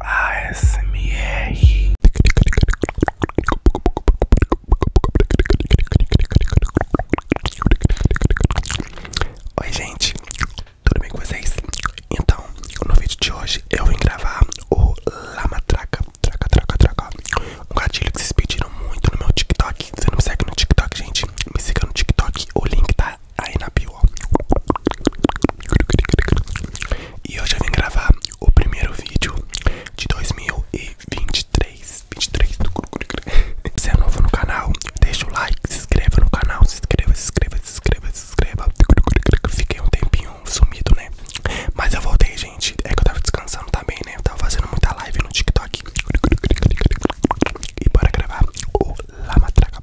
ASMR. Oi, gente, tudo bem com vocês? Então, no vídeo de hoje eu vim gravar o Lamatraca, traca, traca, traca, um gatilho que vocês pediram muito no meu TikTok. Você não me segue no TikTok, gente? Me siga no TikTok, o link tá aí na bio, ó. E hoje eu vim gravar o primeiro vídeo de 2023. 23. Se é novo no canal, deixa o like, se inscreva no canal, se inscreva, se inscreva, se inscreva, se inscreva. Fiquei um tempinho sumido, né? Mas eu voltei, gente. É que eu tava descansando também, né? Eu tava fazendo muita live no TikTok. E bora gravar o Lamatraca.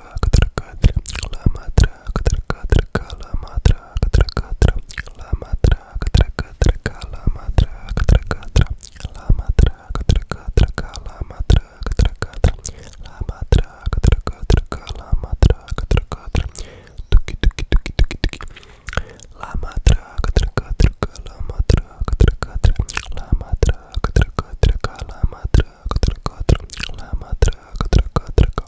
Matra Katarkatra La Matra Katarkatra La Matra Katarkatra La Matra Katarkatra La Matra Katarkatra La Matra Katarkatra La Matra Katarkatra La Matra Katarkatra La Matra Katarkatra Tuki Tuki Tuki Tuki Tuki La Matra Katarkatra La Matra Katarkatra La Matra Katarkatra La Matra traga, traga, traga, lama traga, traga, traga.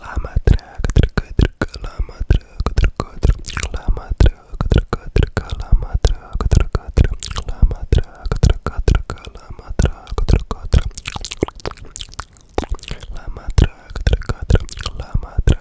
Lama traga, traga, traga, lama traga, traga, traga, lama traga, traga, traga, lama traga, traga, traga, lama traga, traga, traga, lama traga, traga, traga, lama traga,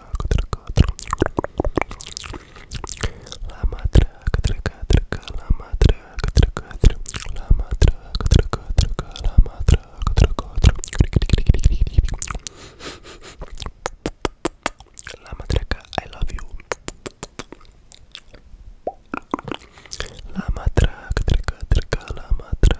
I love you. La matraca, la matraca, la matraca.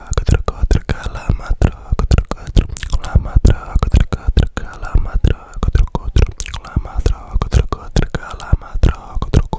aku aku aku lama truk truk truk lama truk aku truk lama truk truk truk lama truk truk truk lama truk aku truk lama truk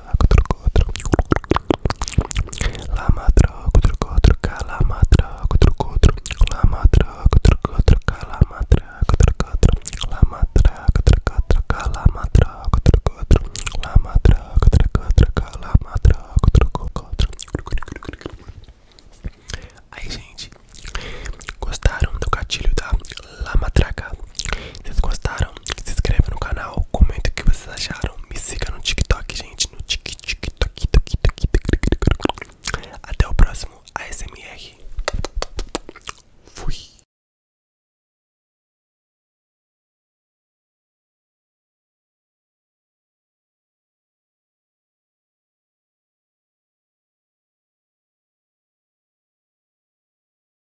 troco, troco, troco. Lama troco, troco, troca, lama troco, troco, troco. Lama troco, troco, troca, lama troco, troco, troco. Lama troco, troco, troca, lama troco, troco, troco. Lama troco, troco, troca, lama troco, troco, troco. Aí, gente, gostaram do gatilho da lama traca? Vocês gostaram? Se inscreve no canal, comenta o que vocês acharam. Me siga no TikTok, gente. No tic tic toc toc toc. Até o próximo ASMR. Fui.